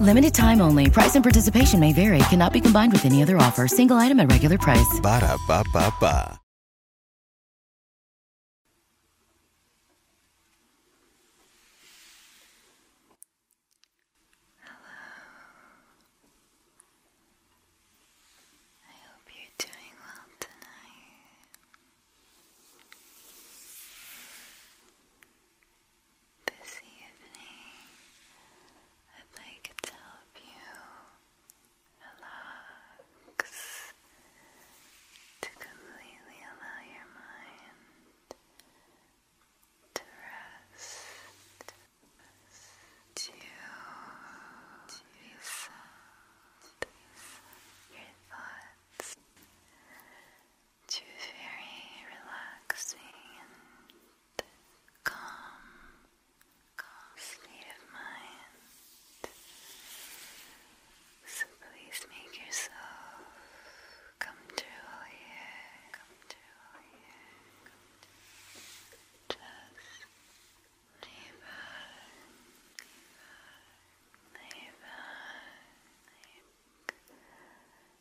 Limited time only. Price and participation may vary. Cannot be combined with any other offer. Single item at regular price. Ba da ba ba ba. Hello. I hope you're doing well tonight. This evening, I'd like to help you relax, to completely allow your mind to rest, to reset your thoughts to very relaxing Come, calm state of mind. So please make yourself comfortable here, comfortable here, Just lay back, lay back, lay back.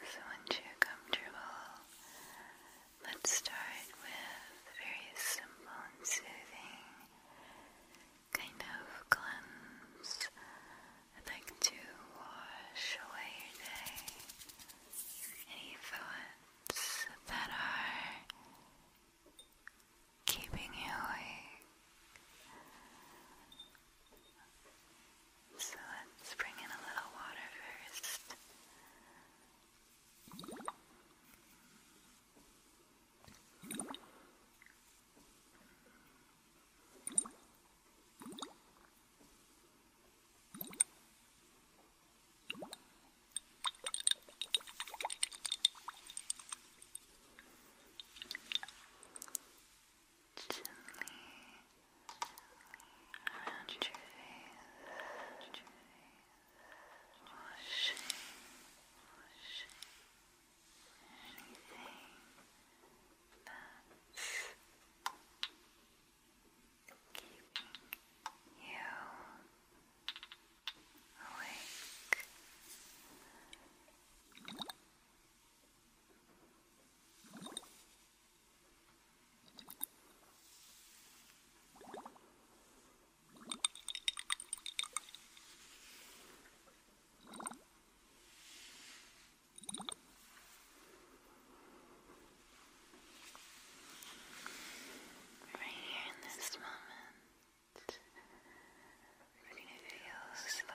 So once you're comfortable, let's start with very simple and soothing kind of cleanse. I'd like to wash away your day. Any thoughts that are keeping you awake. So let's bring in a little water first gently around your face, washing, washing anything keeping you awake. Right here in this moment, we slow.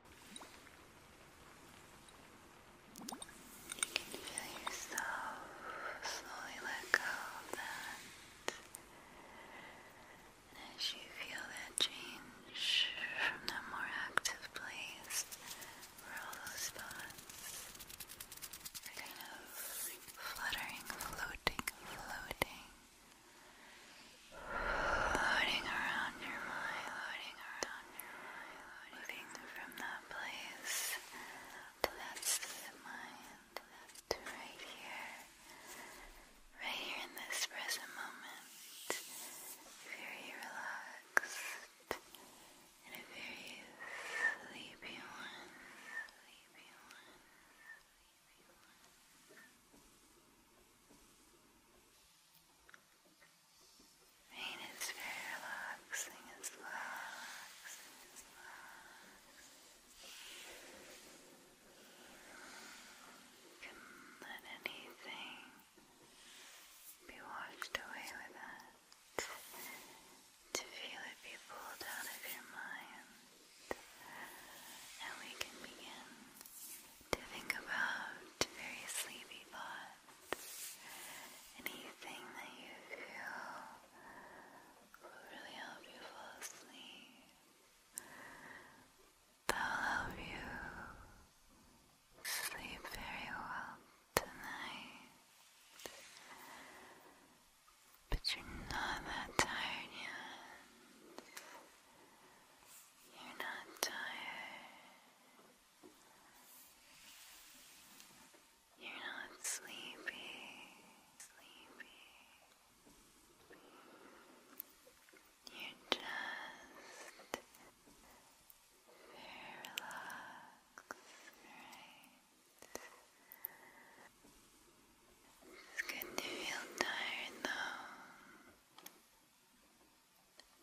You can feel yourself slowly let go of that. And as you feel that change from that more active place all those thoughts are kind of fluttering, floating, floating. Floating around your mind, floating around moving from that place to that mind right here, right here in this present moment, very relaxed and a very sleepy sleepy one. Pain is very relaxing, it's relaxing, Can let anything be washed away with it. To feel it be pulled out of your mind. And we can begin to think about very sleepy thoughts anything that you feel will really help you fall asleep. That will help you sleep very well tonight. But you're not that tired yet. You're not tired. You're not sleepy, You're just relaxed, It's good to feel tired though.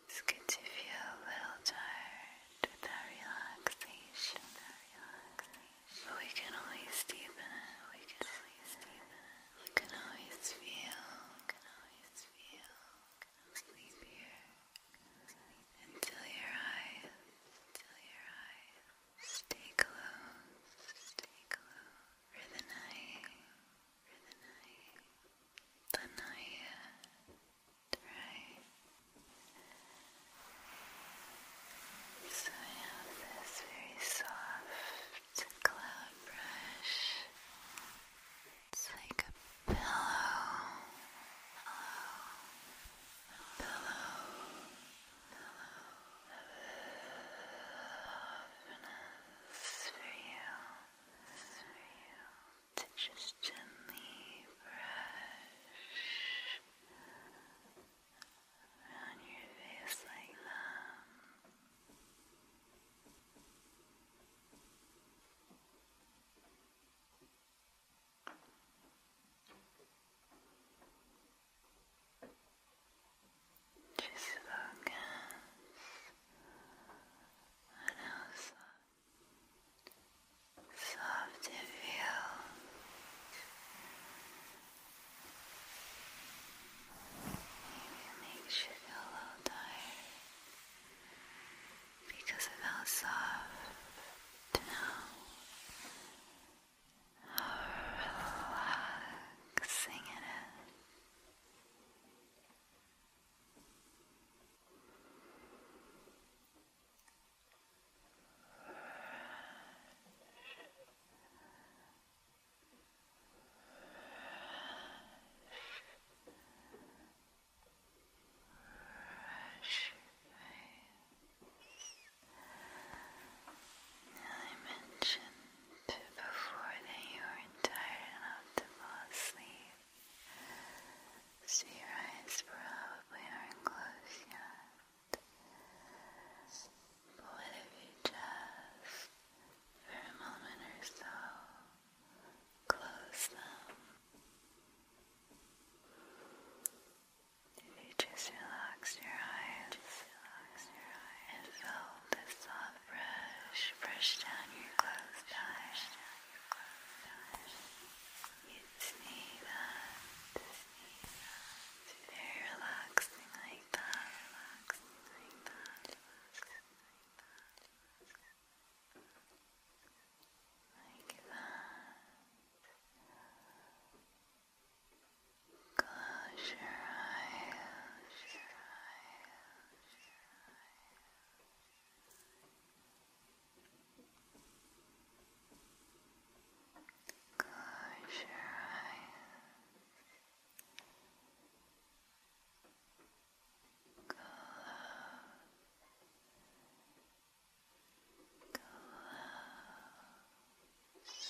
It's good to feel a little tired with that relaxation. But we can always deepen it. We can always deepen it. can always feel. You can always feel. Sleep here until your eyes, stay closed for the night for the night, the night, right? So I have this very soft cloud brush. It's like a pillow, pillow, pillow, pillow of for you to just gently brush around your face like that. Just focus and also soft and feel even makes you feel a little tired because of how soft how relaxing it is. I mentioned before that you are tired enough to fall asleep. So your eyes probably aren't closed yet. But what if you just, for a moment or so, close them? If you just relax your eyes, just relax your eyes and feel the soft brush, brush down your clothes brush down your clothes You see that, very relaxing like that, relaxing like that. Like that. Close your eyes. Close your eyes. Close your eyes. Close. Close. Close.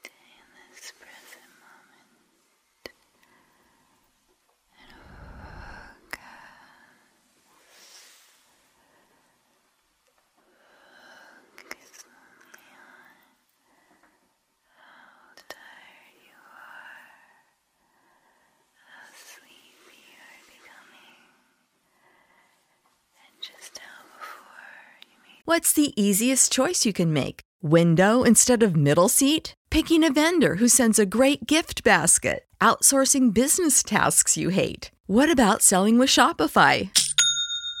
Stay in this present moment and focus. Focus only on how tired you are. What's the easiest choice you can make? Window instead of middle seat? Picking a vendor who sends a great gift basket? Outsourcing business tasks you hate? What about selling with Shopify?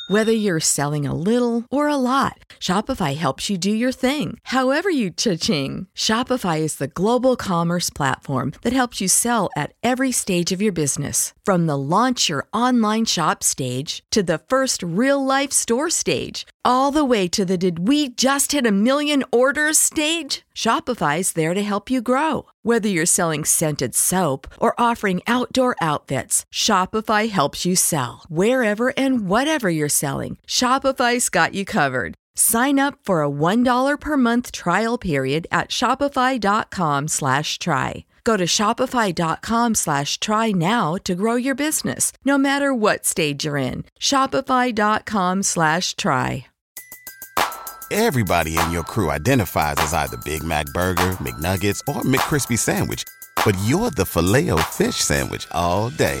Whether you're selling a little or a lot, Shopify helps you do your thing, however you cha-ching. Shopify is the global commerce platform that helps you sell at every stage of your business. From the launch your online shop stage to the first real life store stage, all the way to the did we just hit a million orders stage? Shopify's there to help you grow. Whether you're selling scented soap or offering outdoor outfits, Shopify helps you sell. Wherever and whatever you're selling, Shopify's got you covered. Sign up for a $1 per month trial period at Shopify.com slash try. Go to Shopify.com slash try now to grow your business, no matter what stage you're in. Shopify.com slash try. Everybody in your crew identifies as either Big Mac Burger, McNuggets, or McCrispy Sandwich, but you're the filet o fish Sandwich all day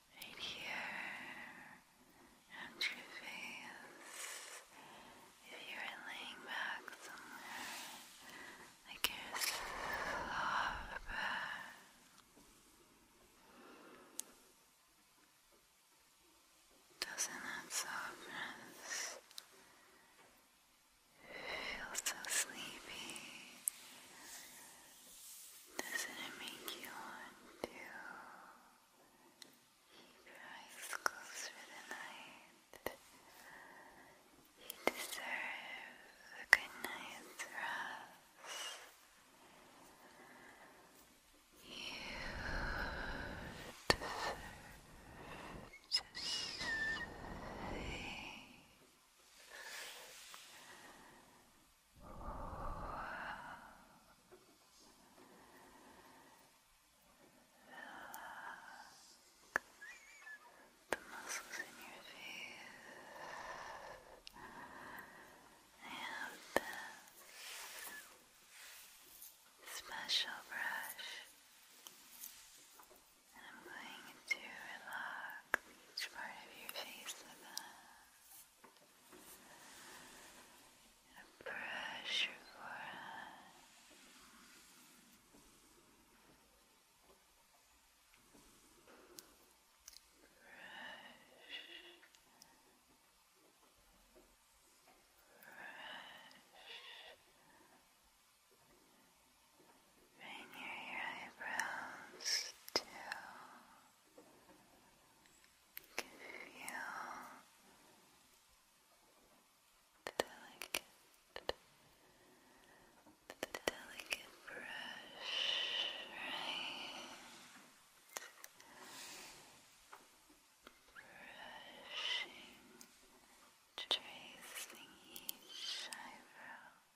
right here around your face. If you're laying back somewhere, like your soft back. Doesn't that softness feel so sleepy? Doesn't it make you want to keep your eyes closed for the night? You deserve a good night's rest. You deserve to the muscles in your face and this special brush. And I'm going to relax each part of your face with that. And brush your forehead. Right near your eyebrows, too. You the delicate, the delicate brush, Brushing, tracing each eyebrow.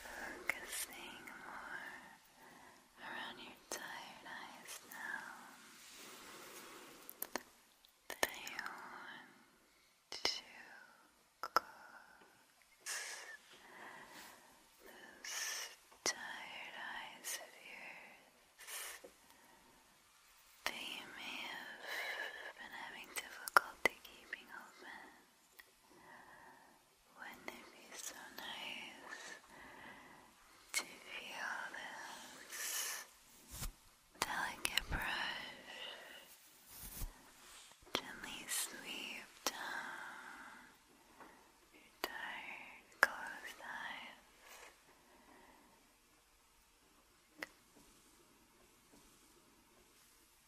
Focusing more around your tired eyes now. They want to close those tired eyes of yours. They may have been having difficulty keeping open. Wouldn't it be so nice to feel this delicate brush gently sweep down your tired, closed eyes?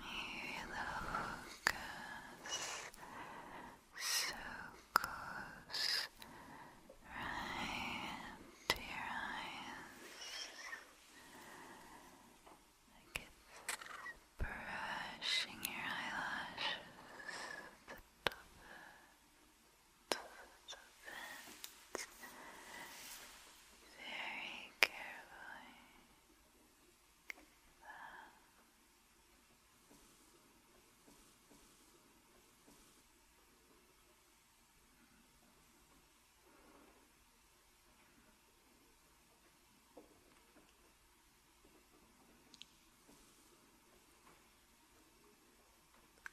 May the focus so close right to your eyes like it's brushing your eyelashes the vents very carefully. That. Very Good.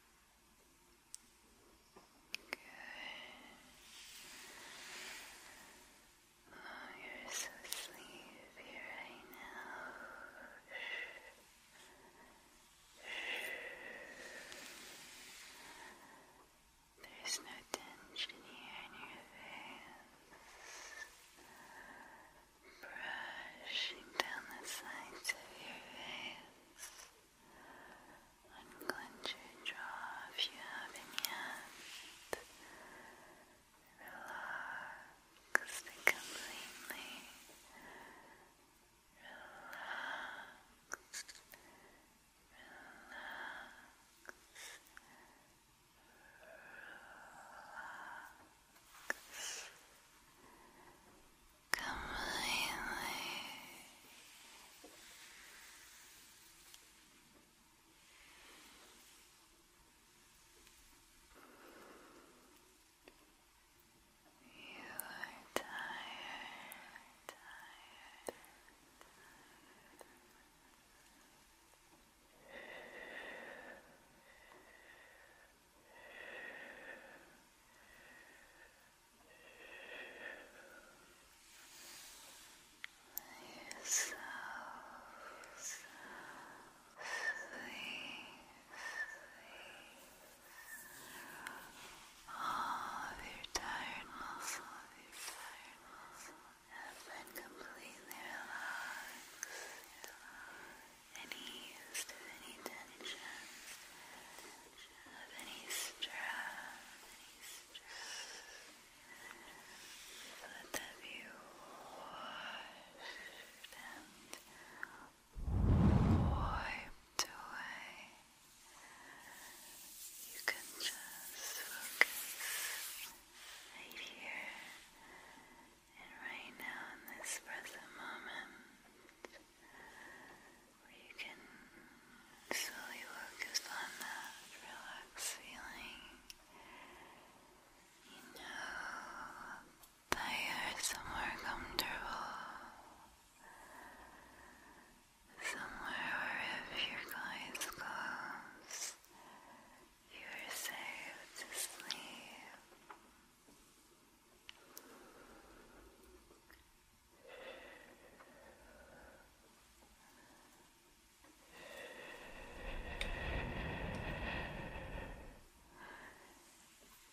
you're so sleepy right now. There's no tension here in your face brushing down the sides of your face. Unclench your jaw if you have Relax completely. Relax. Relax. Relax completely. You are tired, you're so, so sweet, sweet. All of your tired muscles, your tired muscles have been completely relaxed. relaxed any stress. let that be washed and wiped away. You can just focus right here and right now, in this present moment, you can slowly focus on that relaxed feeling. You know that you're somewhere comfortable, somewhere where if your eyes close, you are safe to sleep.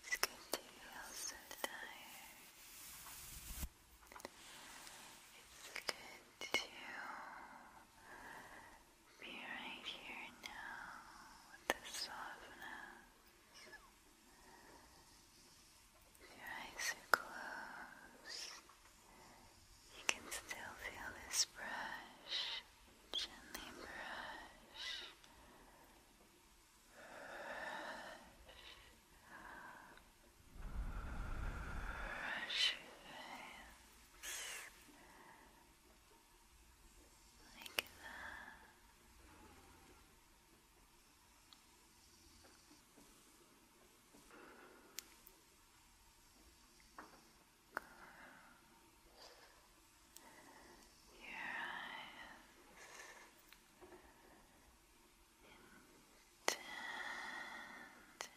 It's good to feel so It's good to be right here now with the softness. If your eyes are closed, you can still feel this brush, gently brush, brush, like that. Close your eyes. Intent. Intent.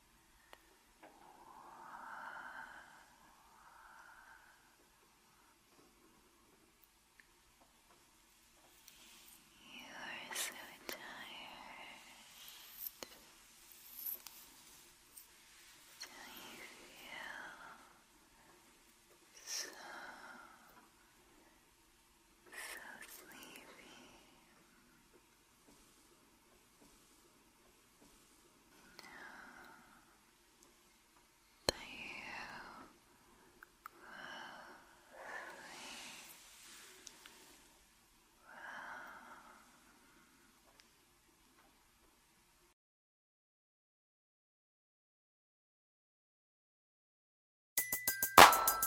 You are so tired till you feel so, so sleepy.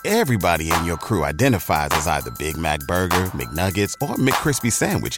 Everybody in your crew identifies as either Big Mac Burger, McNuggets, or McCrispy Sandwich